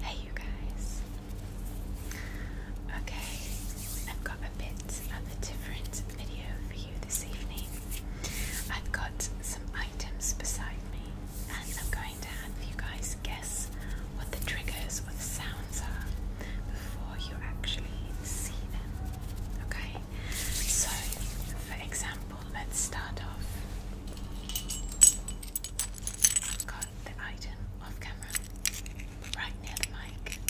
Hey, you guys. Okay, I've got a bit of a different video for you this evening. I've got some items beside me, and I'm going to have you guys guess what the triggers or the sounds are before you actually see them. Okay, so for example, let's start off. I've got the item off camera, right near the mic.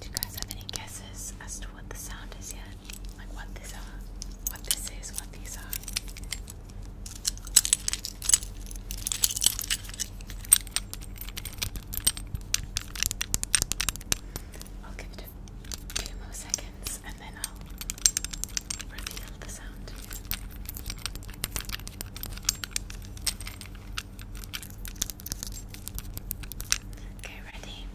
Do you guys have any guesses as to what the sound is yet? Like what these are? What this is, what these are? I'll give it a few more seconds and then I'll reveal the sound to you. Okay, ready?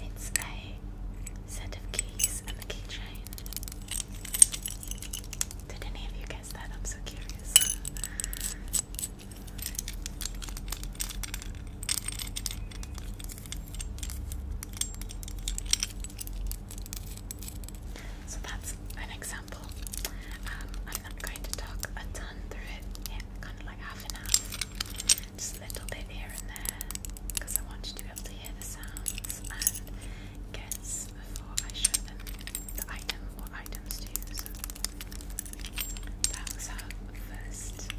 It's a set of keys and a keychain. Did any of you guess that? I'm so curious. So that's an example. Um, I'm not going to talk a ton through it, yeah, kind of like half and half just a little bit here and there because I want to be able to hear the sounds and guess before I show them the item or items to use. That was our first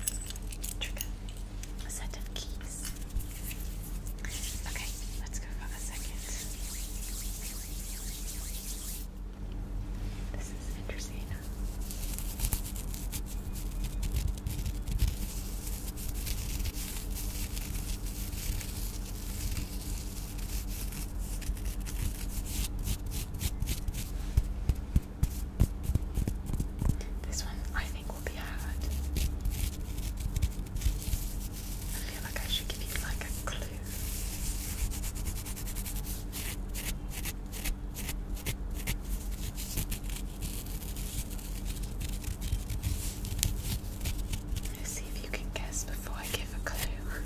trigger, a set of keys. Okay, let's go for a second. This is interesting. This one I think will be hard. I feel like I should give you like a clue. Let's see if you can guess before I give a clue.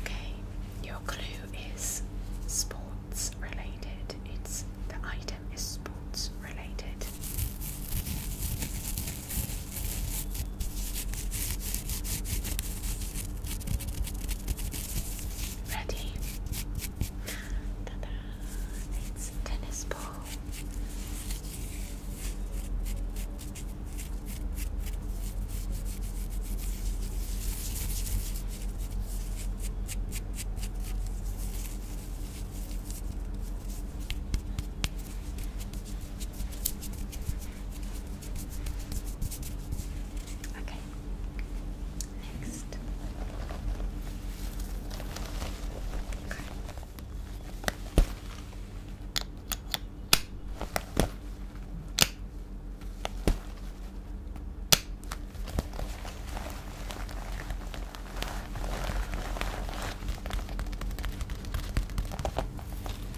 Okay, your clue is sports related. It's the item is sports related. Ready? ta tennis ball. Okay. Next. Okay. Okay.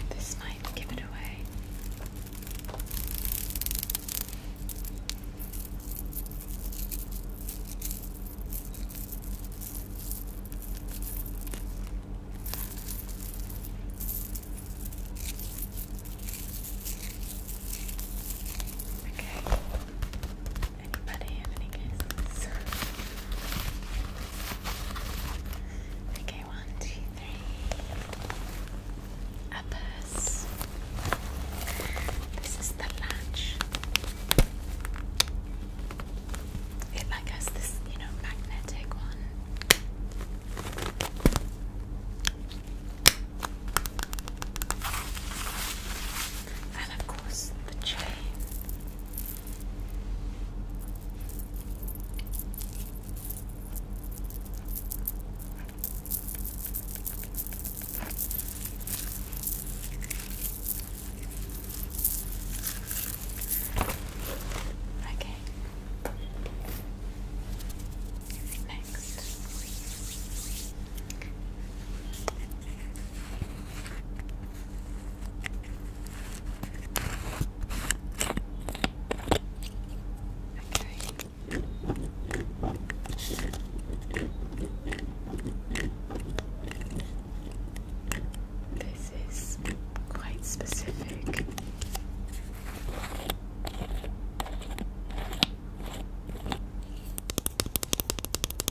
This might give it away. Okay. Anybody Okay, one, two, three. A purse. This is the latch. It like this, you know, magnetic one and of course the chain. Okay. Next. Okay. This is quite specific. Okay.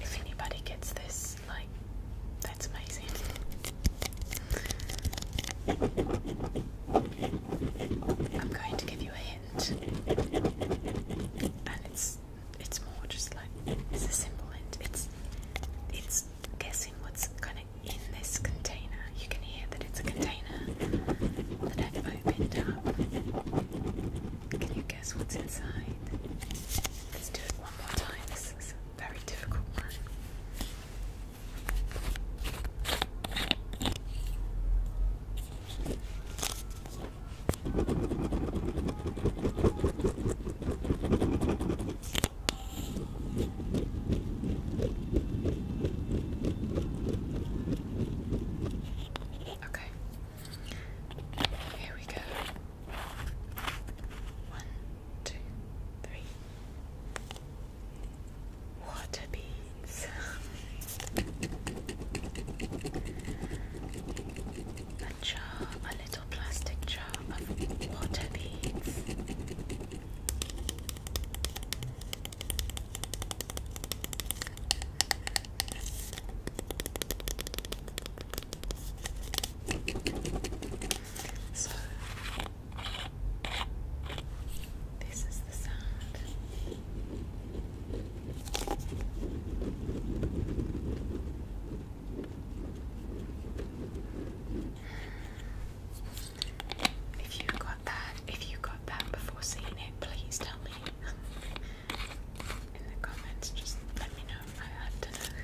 If anybody gets this that's like that's amazing. I'm going to give you a hint, and it's it's more just like it's a simple hint. It's it's guessing what's kind of in this container. You can hear that it's a container that I've opened up. Can you guess what's inside? Let's do it one more time very difficult one. Okay. Here we go. One, two, three. Water beads. a jar, a little plastic jar of water beads. So this is the sound. If you got that, if you got that before seeing it, please tell me in the comments. Just let me know. I have to know.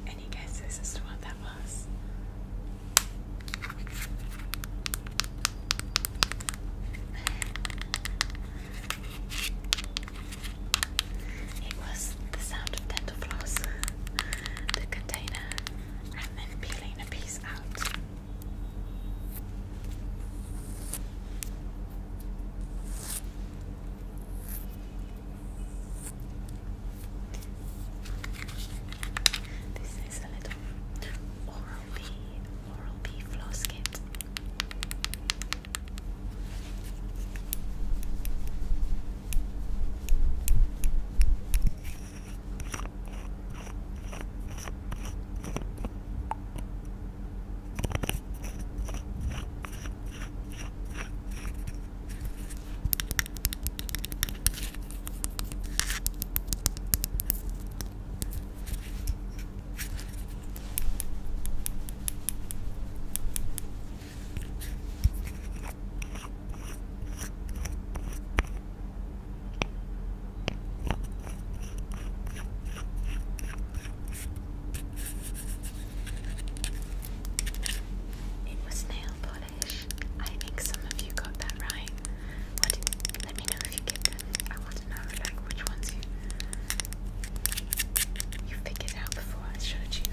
And Any guesses this is what that was? It was the sound of dental floss, the container, and then peeling a piece out. This is a little Oral B, Oral B floss kit. It was nailed polish. I think some of you got that right. let me know if you get I want to know which ones you you figured out before I showed you.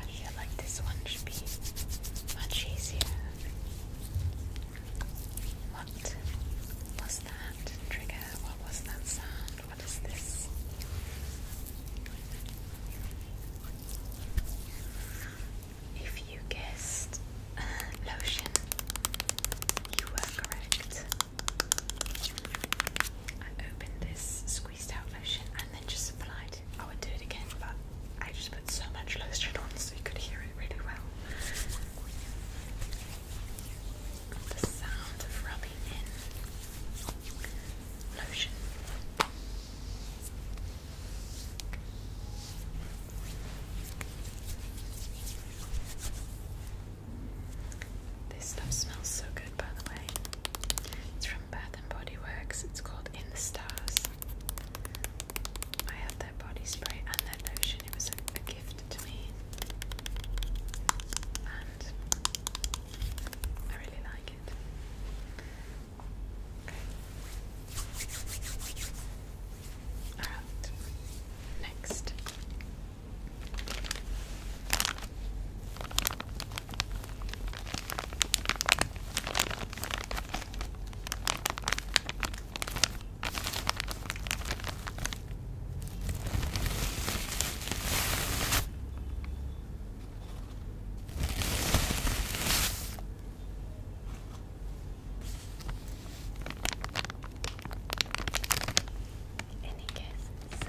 I feel like this one should be much easier. What was that trigger? What was that sound? What is this? If you guessed lotion, you were correct. I opened this lotion and then just applied. I would do it again, but I just put so much lotion on so you could hear it really well. The sound of rubbing in lotion. This stuff smells so good, by the way. It's Bath and Body Works. It's called In the Stars. I had their body spray and their lotion. It was a gift to me, and I really like it. Okay. All right. Next. Any guesses?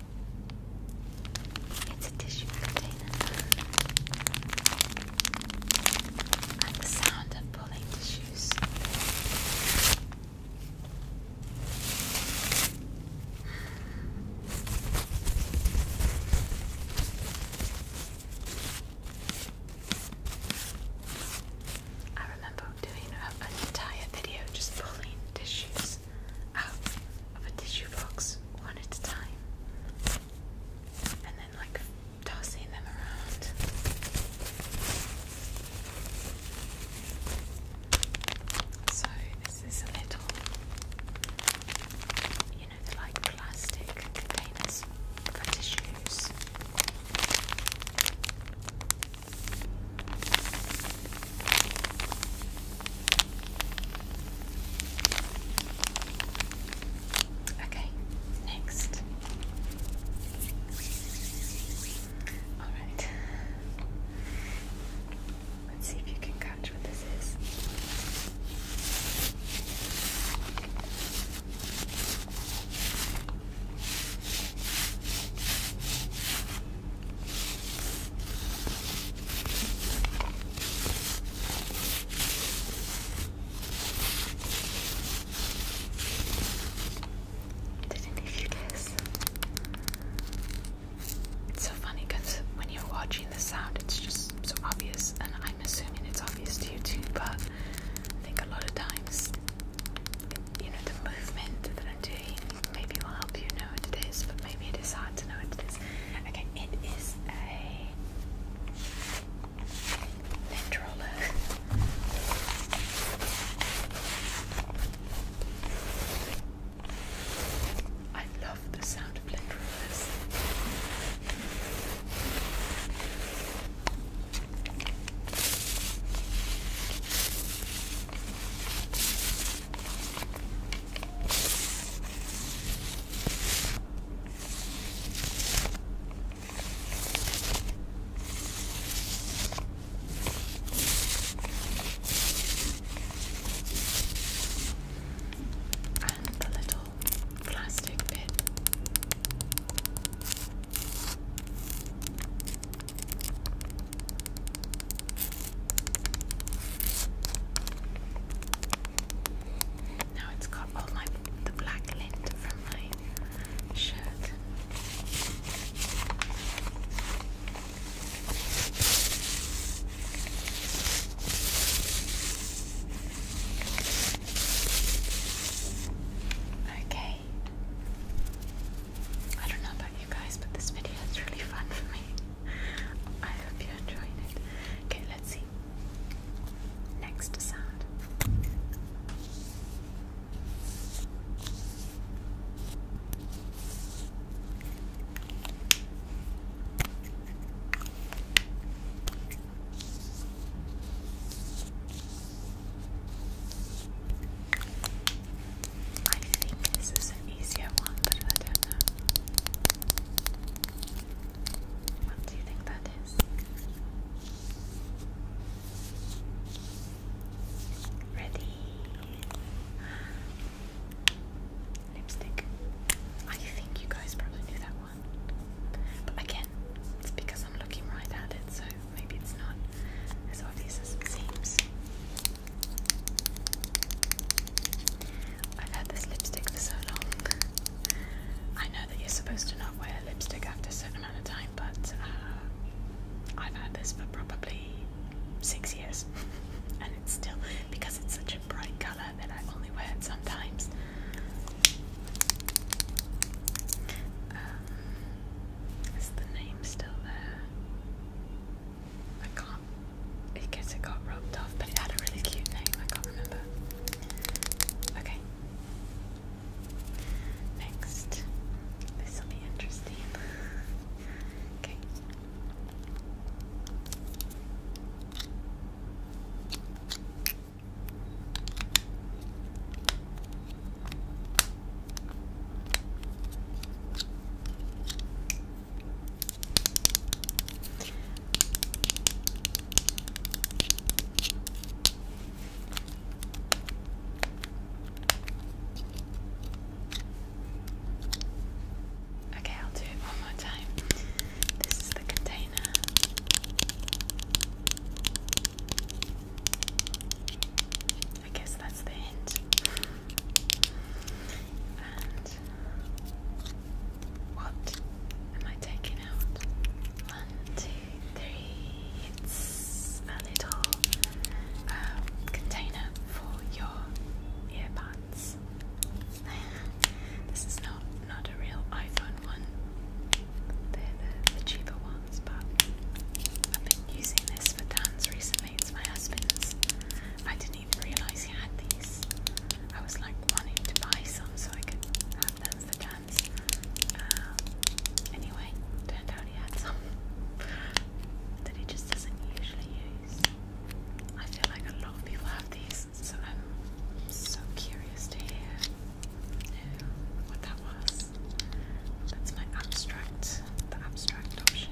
It's a tissue container. And the sound of pulling tissues. I remember doing an entire video just pulling tissues out of a tissue box one at a time and then like tossing them around. So this is a little, you know, like plastic containers for tissues. Okay, next. All right. Let's see if you can catch what this is. Didn't need you It's so funny because when you're watching the sound, it's just so obvious, and I'm assuming it's obvious to you too, but I think a lot of times, you know, the movement that I'm doing maybe will help you know what it is, but maybe it is hard to know what it is. Okay, it is a lint roller. I love the sound of lint rollers and the little plastic bit. Now it's got all my the black lint from my shirt. Okay. I don't know about you guys, but this video is really fun for me. I hope you are enjoying it. Okay, let's see. Next sound. I think this is an easier one, but I don't know. What do you think that is? Ready? Lipstick. I think you guys probably knew that one. But again, it's because I'm looking right at it, so maybe it's not as obvious as it seems. I've had this lipstick for so long. I know that you're supposed to not wear lipstick after a certain amount of time, but uh, I've had this for probably six years, and it's still because it's such a bright color that I only wear it sometimes. Um, is the name still there? I can't I guess it got rubbed off, but it had a really cute name, I can't remember. Okay. Next. This will be interesting. okay. Okay, I'll do it one more time. This is the container. I guess that's the hint. What am I taking out? One, two, three. It's a little um, container for your earbuds. this is not not a real iPhone one. They're the, cheaper ones, but I've been using this for dance recently. It's my husband's. I didn't even realise Roxy had these. I was like wanting to buy some so I could have them for dance. Um, anyway, turned out he had some that he just doesn't usually use. I feel like a lot of people have these, so I'm so curious to hear what that was. That's my abstract, the abstract option.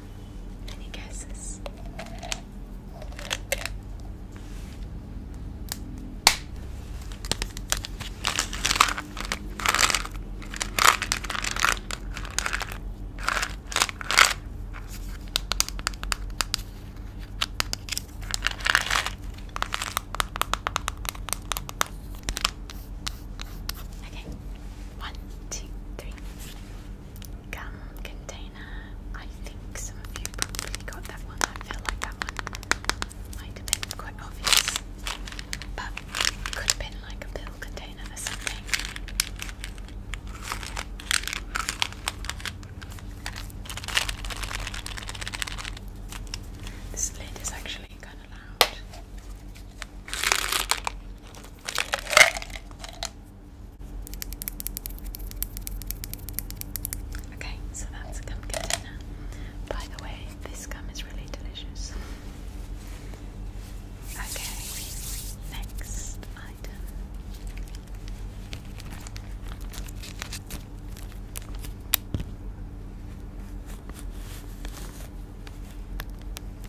Any guesses? Okay, one, two, three gum container. I think some of you probably got that one. I feel like that one might have been quite obvious. But could have been like a pill container or something. This lid is actually kind of loud. Okay, so that's gum container. By the way, this gum is really delicious. Okay, next item.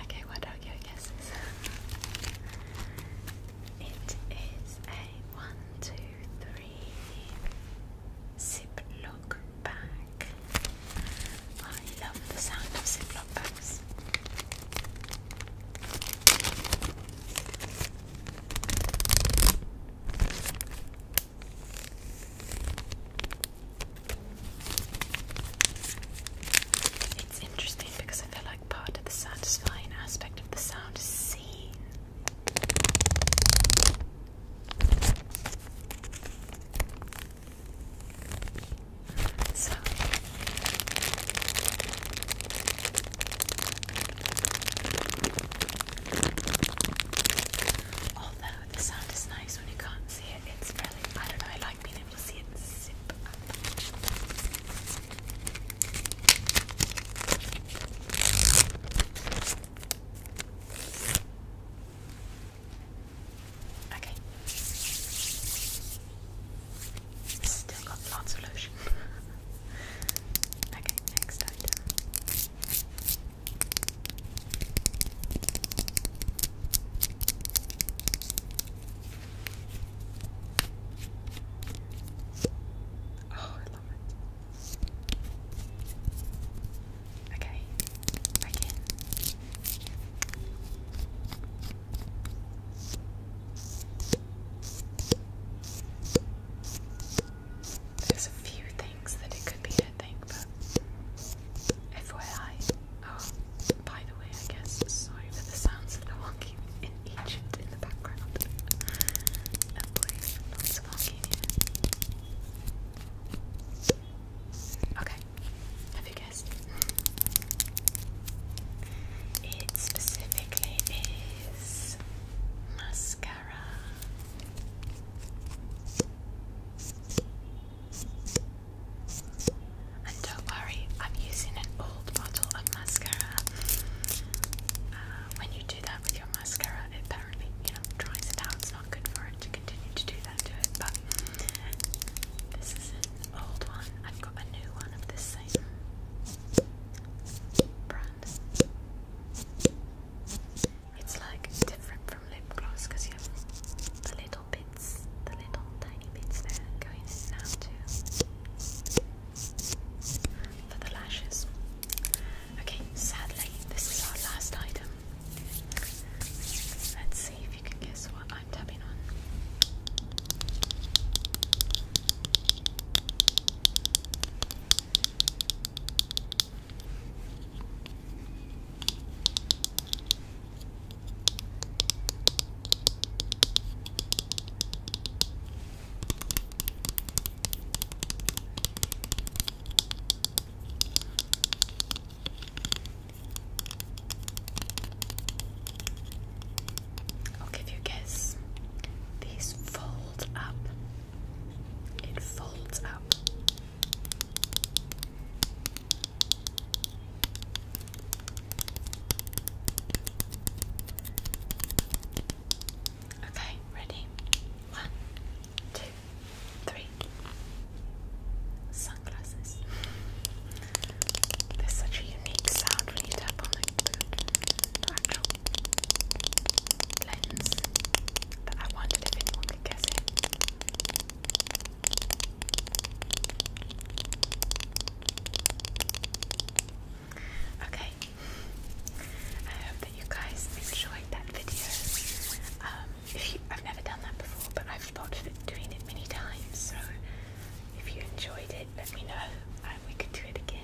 Okay, what are your guesses? it is a one, two, three ziplock bag. I love the sound of Ziploc bags. It's interesting because I feel like part of the satisfying aspect of the sound is seen. So although the sound is nice when you can't see it, it's really I don't know, I like being able to see it zip Okay. Still got lots of lotion. okay, next item. Oh, I love it. Okay, again, there's a few things that it could be, I think, but FYI. Oh, by the way, I guess, sorry for the sounds of the walking in Egypt in the background. Okay, have you guessed? It specifically is mascara. And don't worry, I'm using an old bottle of mascara. Uh, when you do that with your mascara, apparently, you know, dries it out. It's not good for it to continue to do that to it, but this is it old one. I've got a new one of this same brand. It's like different from lip gloss because you have the little bits, the little tiny bits there going in for the lashes. Okay, sadly, this is our last item. Let's see can guess what I'm tapping on. I'll give you a guess. These fold up. It folds up. Okay, ready? One, two, three. So there's such a unique sound when you tap on the lens that I wondered if anyone guess it. Okay, I hope that you guys enjoyed that video. Um, if you, I've never done that before, but I've thought of it, doing it many times, so if you enjoyed it, let me know and we could do it again.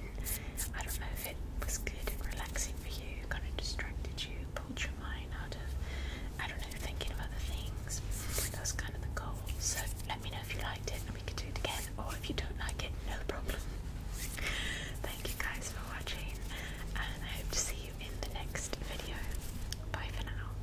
I don't know if it was good and relaxing for you, kind of distracted you, pulled your mind out of, I don't know, thinking of other things. That's kind of the goal. So let me know if you liked it and we could do it again, or if you don't like it, no problem. Thank you guys for watching, and I hope to see you in the next video. Bye for now.